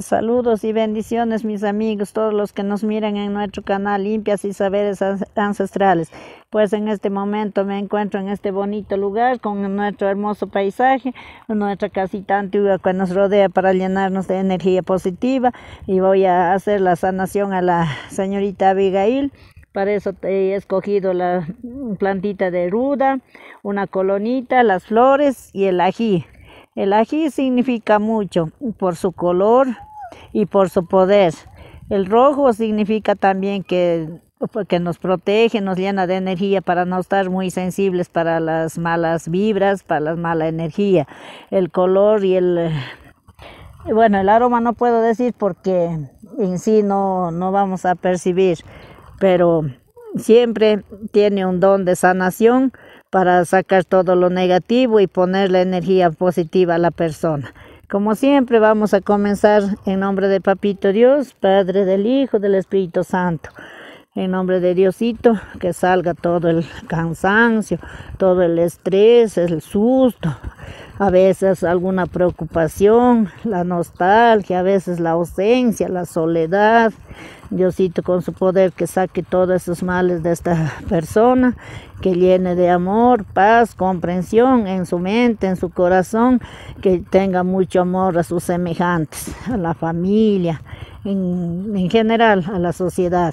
Saludos y bendiciones mis amigos, todos los que nos miran en nuestro canal Limpias y Saberes Ancestrales. Pues en este momento me encuentro en este bonito lugar con nuestro hermoso paisaje, nuestra casita antigua que nos rodea para llenarnos de energía positiva y voy a hacer la sanación a la señorita Abigail. Para eso he escogido la plantita de ruda, una colonita, las flores y el ají. El ají significa mucho por su color y por su poder. El rojo significa también que, nos protege, nos llena de energía para no estar muy sensibles para las malas vibras, para la mala energía. El color y el... Bueno, el aroma no puedo decir porque en sí no, no vamos a percibir, pero siempre tiene un don de sanación para sacar todo lo negativo y poner la energía positiva a la persona. Como siempre vamos a comenzar en nombre de Papito Dios, Padre del Hijo, del Espíritu Santo. En nombre de Diosito, que salga todo el cansancio, todo el estrés, el susto, a veces alguna preocupación, la que a veces la ausencia, la soledad. Diosito con su poder que saque todos esos males de esta persona, que llene de amor, paz, comprensión en su mente, en su corazón, que tenga mucho amor a sus semejantes, a la familia, en general a la sociedad.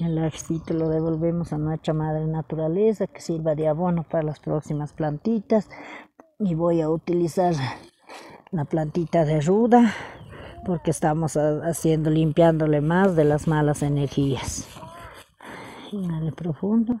El arcito lo devolvemos a nuestra madre naturaleza que sirva de abono para las próximas plantitas. Y voy a utilizar la plantita de ruda porque estamos haciendo, limpiándole más de las malas energías. profundo.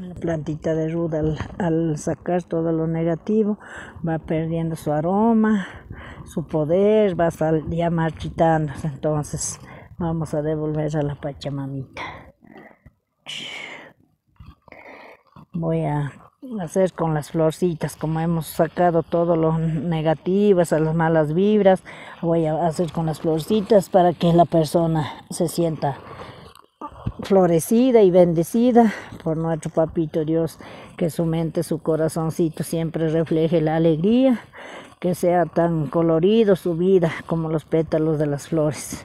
La plantita de ruda al, sacar todo lo negativo va perdiendo su aroma, su poder, va ya marchitando. Entonces vamos a devolver a la Pachamamita voy a hacer con las florcitas como hemos sacado todo lo negativas a las malas vibras voy a hacer con las florcitas para que la persona se sienta florecida y bendecida por nuestro papito Dios que su mente su corazoncito siempre refleje la alegría que sea tan colorido su vida como los pétalos de las flores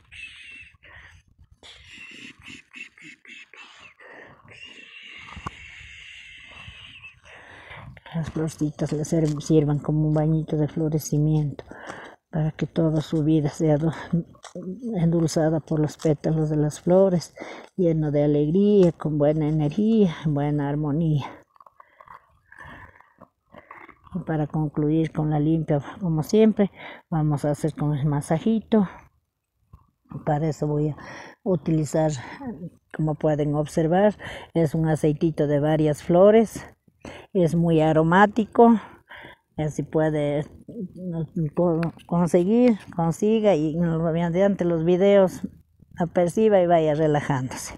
Las florcitas le sirvan como un bañito de florecimiento para que toda su vida sea endulzada por los pétalos de las flores, lleno de alegría, con buena energía, buena armonía. Y para concluir con la limpia, como siempre, vamos a hacer con el masajito. Para eso voy a utilizar, como pueden observar, es un aceitito de varias flores. Es muy aromático. Así puede mm, conseguir, consiga y mediante los videos aperciba y vaya relajándose.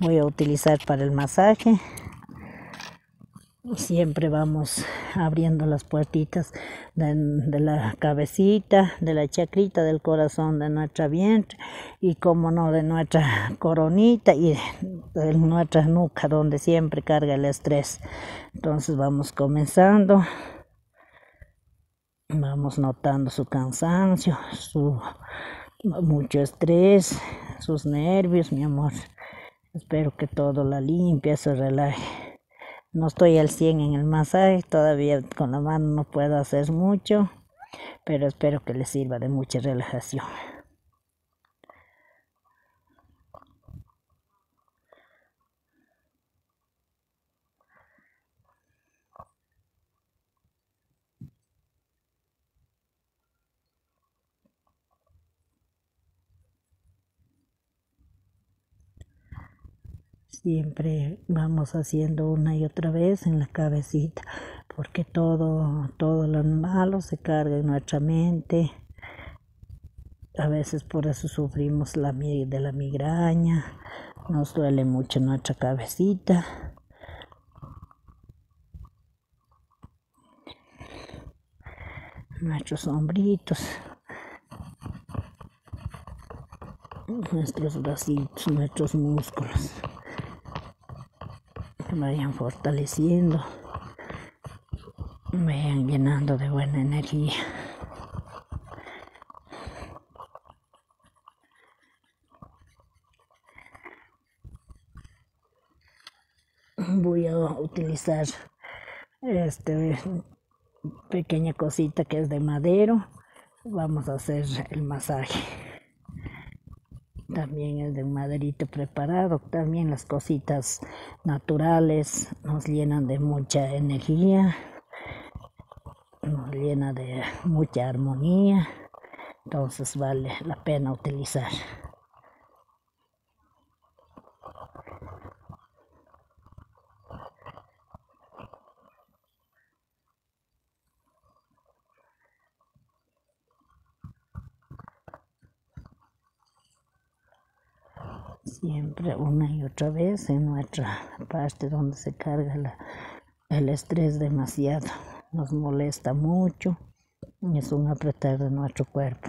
Voy a utilizar para el masaje siempre vamos abriendo las puertitas de, la cabecita, de la chacrita, del corazón, de nuestra vientre y como no de nuestra coronita y de nuestra nuca donde siempre carga el estrés. Entonces vamos comenzando, vamos notando su cansancio, su mucho estrés, sus nervios, mi amor. Espero que todo la limpieza se relaje. No estoy al 100 en el masaje, todavía con la mano no puedo hacer mucho, pero espero que les sirva de mucha relajación. Siempre vamos haciendo una y otra vez en la cabecita, porque todo, lo malo se carga en nuestra mente. A veces por eso sufrimos de la migraña, nos duele mucho nuestra cabecita nuestros hombritos, nuestros bracitos, nuestros músculos, que vayan fortaleciendo, vayan llenando de buena energía voy a utilizar esta pequeña cosita que es de madero vamos a hacer el masaje también es de maderito preparado también las cositas naturales nos llenan de mucha energía nos llena de mucha armonía entonces vale la pena utilizar siempre una y otra vez en nuestra parte donde se carga el estrés demasiado. Nos molesta mucho es un apretar de nuestro cuerpo.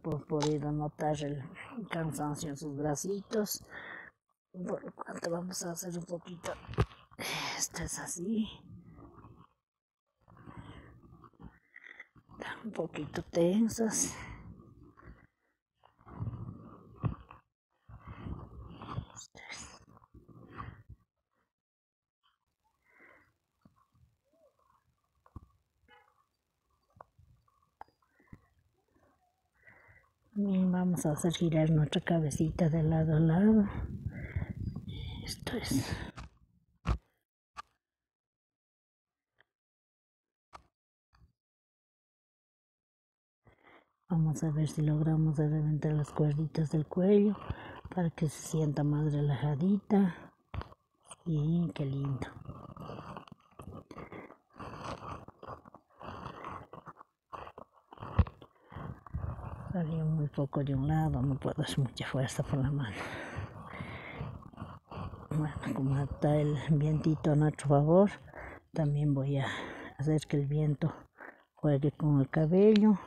por podido notar el cansancio en sus bracitos por lo vamos a hacer un poquito esto es así. Están un poquito tensas. vamos a hacer girar nuestra cabecita de lado a lado. Esto es. Vamos a ver si logramos de reventar las cuerditas del cuello para que se sienta más relajadita. Y qué lindo. Salió muy poco de un lado, no puedo hacer mucha fuerza por la mano. Bueno, como está el vientito a nuestro favor, también voy a hacer que el viento juegue con el cabello.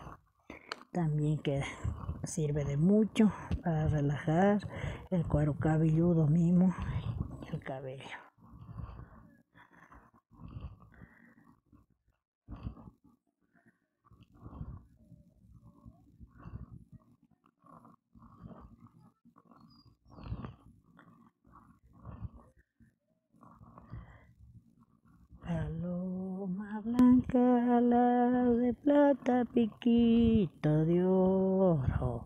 También que sirve de mucho para relajar el cuero cabelludo mismo y el cabello. Paloma blanca, la de plata, piquito de oro.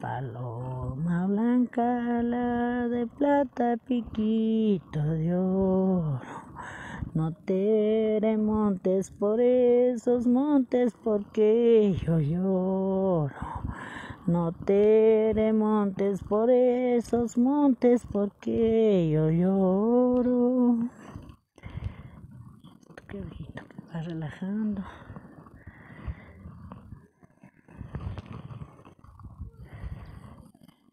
Paloma blanca, la de plata, piquito de oro. No te remontes por esos montes porque yo lloro. No te remontes por esos montes porque yo lloro. Qué viejito que va relajando.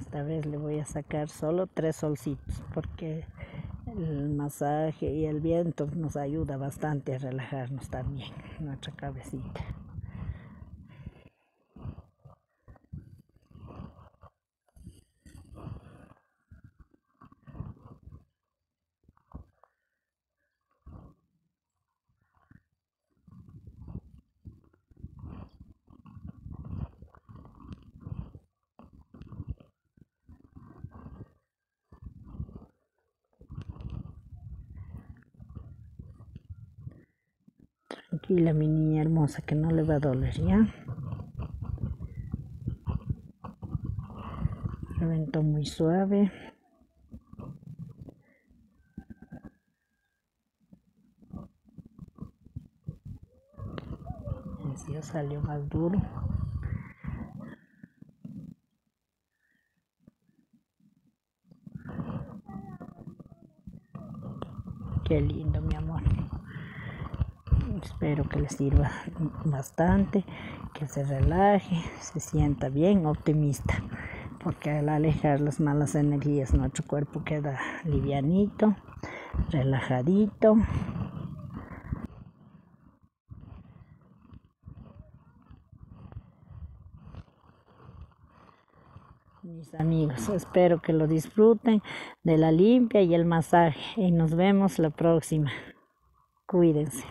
Esta vez le voy a sacar solo tres solcitos porque el masaje y el viento nos ayuda bastante a relajarnos también nuestra cabecita. Tranquila, mi niña hermosa, que no le va a doler, ¿ya? Reventó muy suave. Así salió más duro. Qué lindo, mi amor. Espero que les sirva bastante, que se relaje se sienta bien optimista, porque al alejar las malas energías nuestro cuerpo queda livianito, relajadito. Mis amigos, espero que lo disfruten de la limpia y el masaje y nos vemos la próxima. Cuídense.